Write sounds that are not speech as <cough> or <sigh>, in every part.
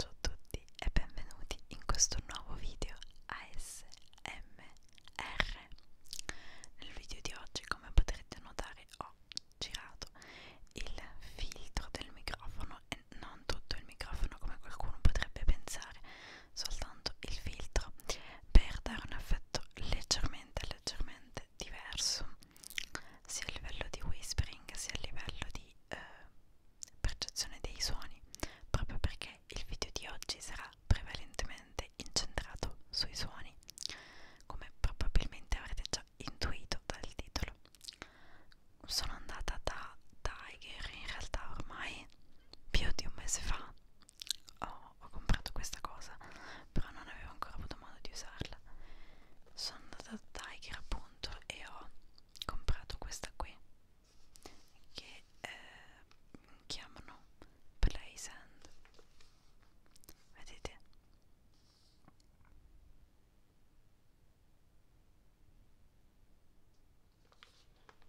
Ciao a tutti e benvenuti in questo nuovo video ASMR. Nel video di oggi, come potrete notare, ho girato il filtro del microfono e non tutto il microfono come qualcuno potrebbe pensare, soltanto il filtro per dare un effetto leggermente sicuramente è leggermente diverso sia a livello di whispering sia a livello di eh, percezione dei suoni proprio perché il video di oggi sarà prevalentemente incentrato sui suoni come probabilmente avrete già intuito dal titolo sono andata da Tiger in realtà ormai più di un mese fa ho, oh, ho comprato questa cosa però non avevo ancora avuto modo di usarla sono andata da Tiger appunto e ho comprato questa qui che eh, chiamano Play Sand vedete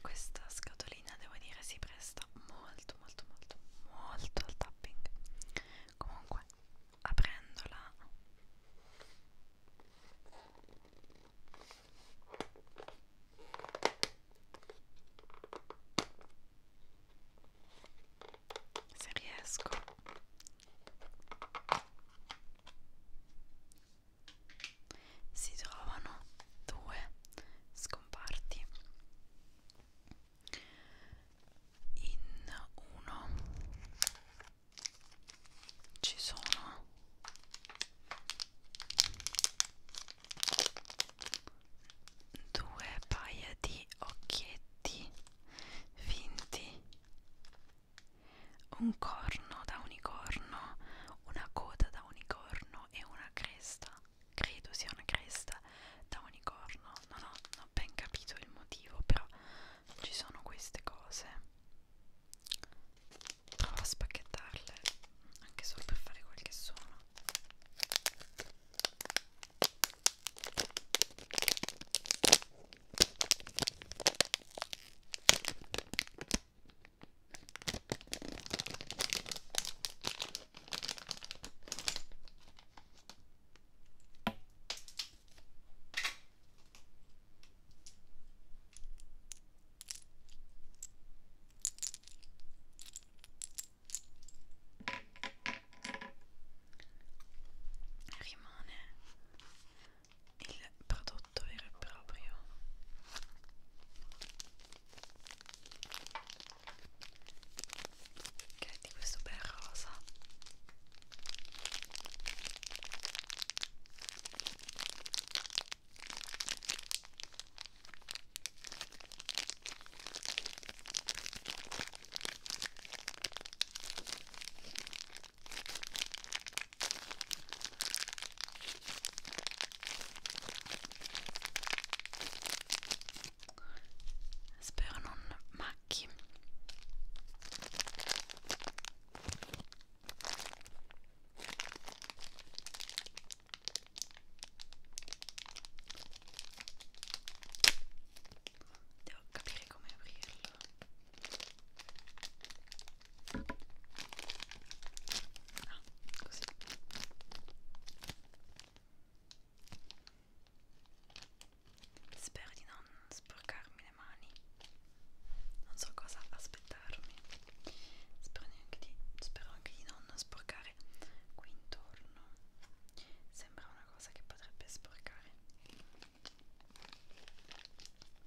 Questa scatolina devo dire si presta molto molto molto molto al tapping. Comunque aprendola se riesco si trovano due scomparti in uno ci sono due paia di occhietti finti un corno da unicorno una coda da unicorno cranio e una cresta, credo sia una cresta da unicorno, non ho, non ho ben capito il motivo, però ci sono queste cose. Provo a spacchettarle, anche solo per fare quel che sono. Rimane il prodotto vero e proprio che è di questo bel rosa spero non macchi devo capire come aprirlo Ah, così spero di non sporcarmi le mani non so cosa aspettarmi spero, neanche di, spero anche di non sporcare qui intorno sembra una cosa che potrebbe sporcare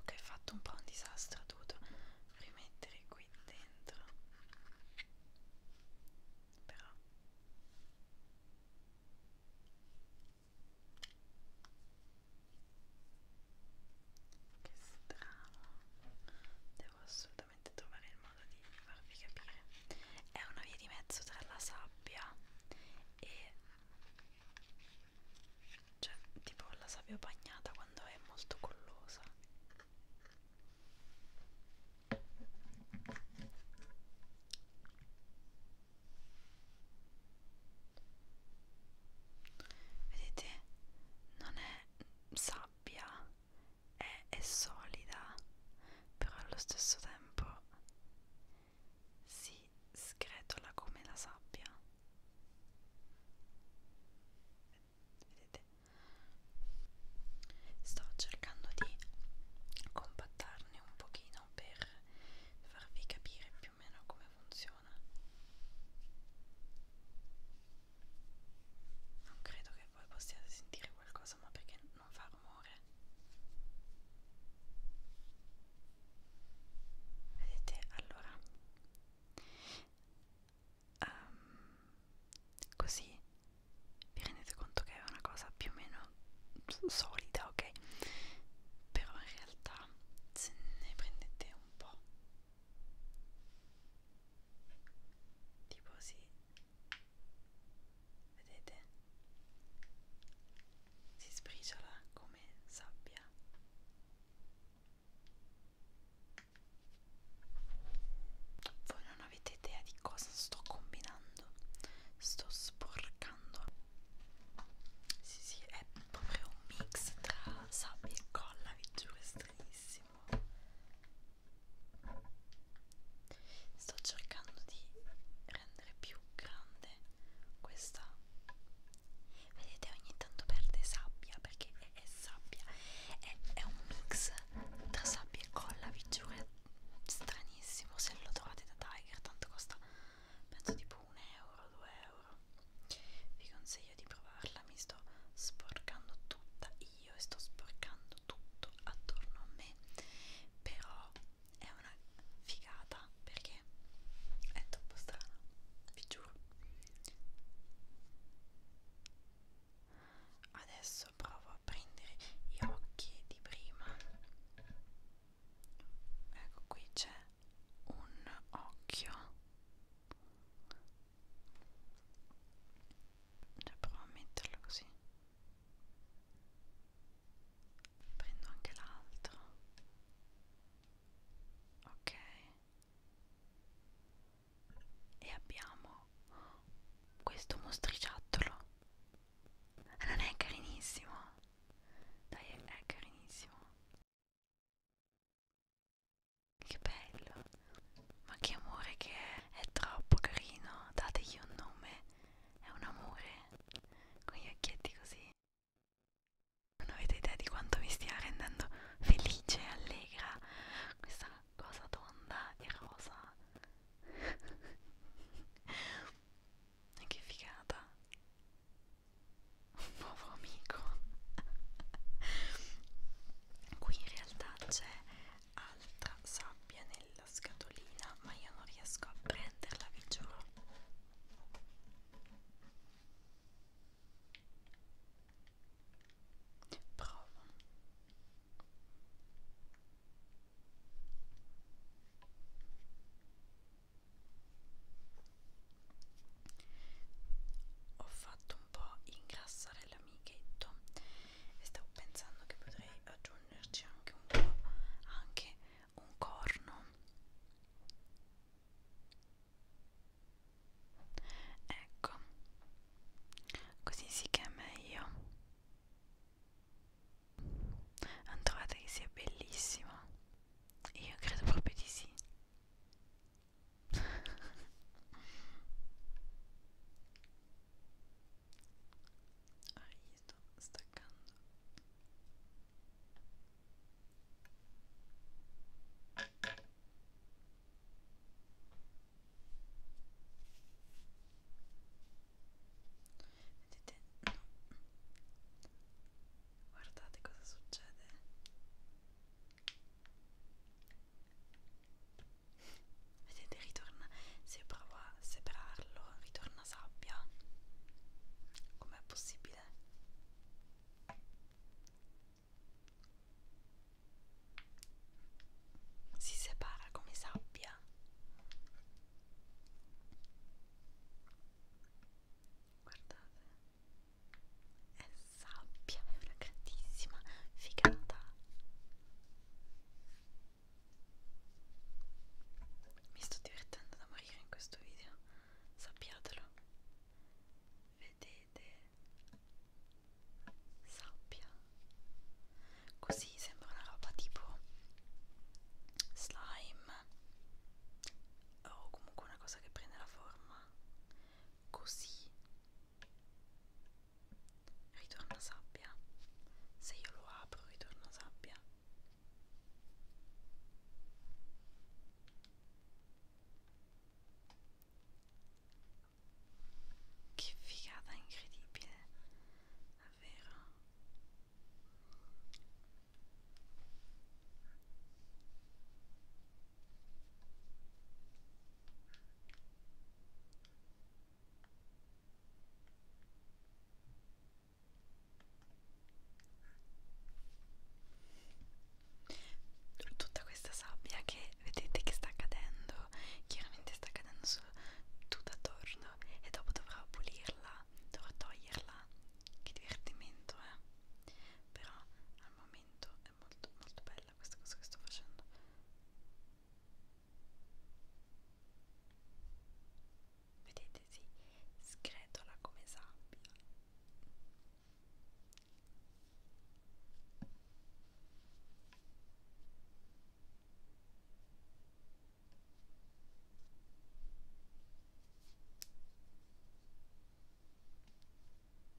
Ok, ho fatto un po' un disastro, ho dovuto rimettere qui dentro. Però che strano devo assolutamente assolutamente trovare il modo di farvi capire è una via di mezzo tra la sabbia e cioè tipo la sabbia bagnata quando è molto collosa vedete non è sabbia è, è solida, però allo stesso tempo si sgretola come la sabbia. Vedete? Sto cercando di compattarne un pochino per farvi capire più o meno come funziona. Non credo che voi possiate sentire qualcosa, ma perché non fa rumore? Vedete, allora, um, così vi rendete conto che è una cosa più o meno solida, ok? Però in realtà se ne prendete un po'. Tipo sì, vedete si sbriciola come sabbia voi non avete idea di cosa sto combinando sto sporcando sì sì è proprio un mix tra sabbia e colla vi giuro è stranissimo sto cercando di rendere più grande questa vedete ogni tanto perde sabbia perché è, è sabbia è, è un mix tra sabbia e colla vi giuro è stranissimo se lo trovate da Tiger tanto costa penso tipo un euro 2 euro vi consiglio di provarla mi sto sporcando tutta io e sto sporcando tutto attorno a me però è una figata perché è troppo strana vi giuro adesso provo a prendere gli occhi di prima ecco qui c'è un occhio cioè provo a metterlo così. Prendo anche l'altro. Ok. E abbiamo questo mostriciattolo. Ah, non è carinissimo. Dai, è carinissimo. Che bello! Ma che amore che è! È troppo carino! Dategli un nome! È un amore! Con gli occhietti così! Non avete idea di quanto mi stia rendendo felice e allegra questa cosa tonda <laughs> e rosa. che figata. Un nuovo amico. <laughs> qui in realtà c'è altra sabbia nella scatolina ma io non riesco a prenderla vi giuro provo ho fatto un po' ingrassare dell'amichetto e stavo pensando che potrei aggiungerci anche un po' anche un corno ecco così sì che è meglio non trovate che sia bellissima io credo proprio di sì ah, gli sto staccando vedete no guardate cosa succede Vedete, ritorna, se provo a separarlo, ritorna sabbia. Com'è possibile? Si separa come sabbia. Guardate è sabbia, è una grandissima figata. Mi sto divertendo da morire in questo video, sappiatelo. Vedete? Sabbia. Così sembra una roba tipo slime o comunque una cosa che prende la forma così ritorna sabbia se io lo apro ritorna sabbia che figata incredibile davvero Tutta questa sabbia che vedete che sta cadendo, chiaramente sta cadendo su tutto attorno e dopo dovrò pulirla, dovrò toglierla. Che divertimento, eh! Però al momento è molto molto bello bella questa cosa che sto facendo vedete si sgretola come sabbia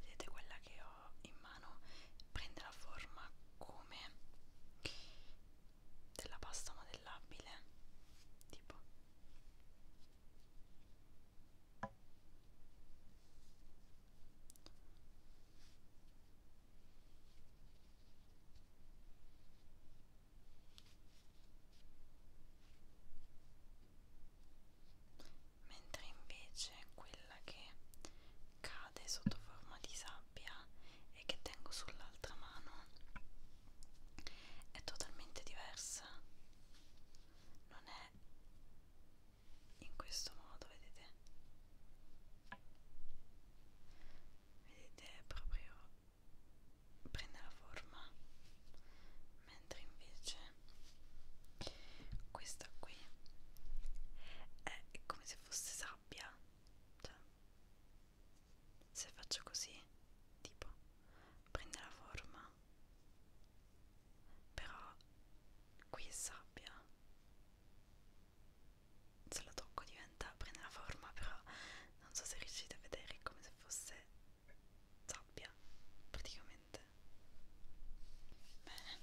Vedete quella che ho in mano prende la forma come della pasta modellabile tipo mentre invece quella che cade sotto forma di sabbia e che tengo sull'altra mano è totalmente diversa non è in questo modo vedete vedete proprio prende la forma mentre invece questa qui è come se fosse sabbia cioè, se faccio così tipo prende la forma però qui è sabbia se la tocco diventa prende la forma però non so se riuscite a vedere è come se fosse sabbia praticamente bene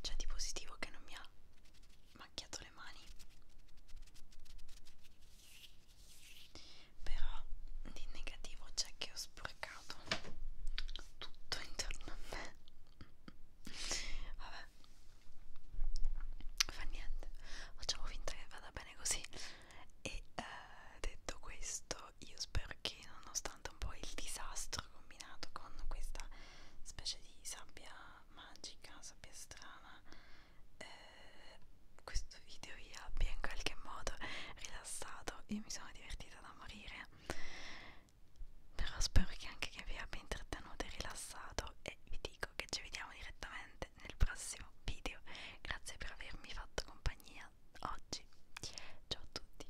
c'è di positivo che non mi ha macchiato le mani però di negativo c'è che ho sporcato tutto intorno a me vabbè fa niente facciamo finta che vada bene così e eh, detto questo io spero che nonostante un po' il disastro combinato con questa specie di sabbia magica sabbia strana eh, questo video vi abbia in qualche modo rilassato io mi sono divertita da morire però spero che anche che vi abbia intrattenuto e rilassato e vi dico che ci vediamo direttamente nel prossimo video grazie per avermi fatto compagnia oggi ciao a tutti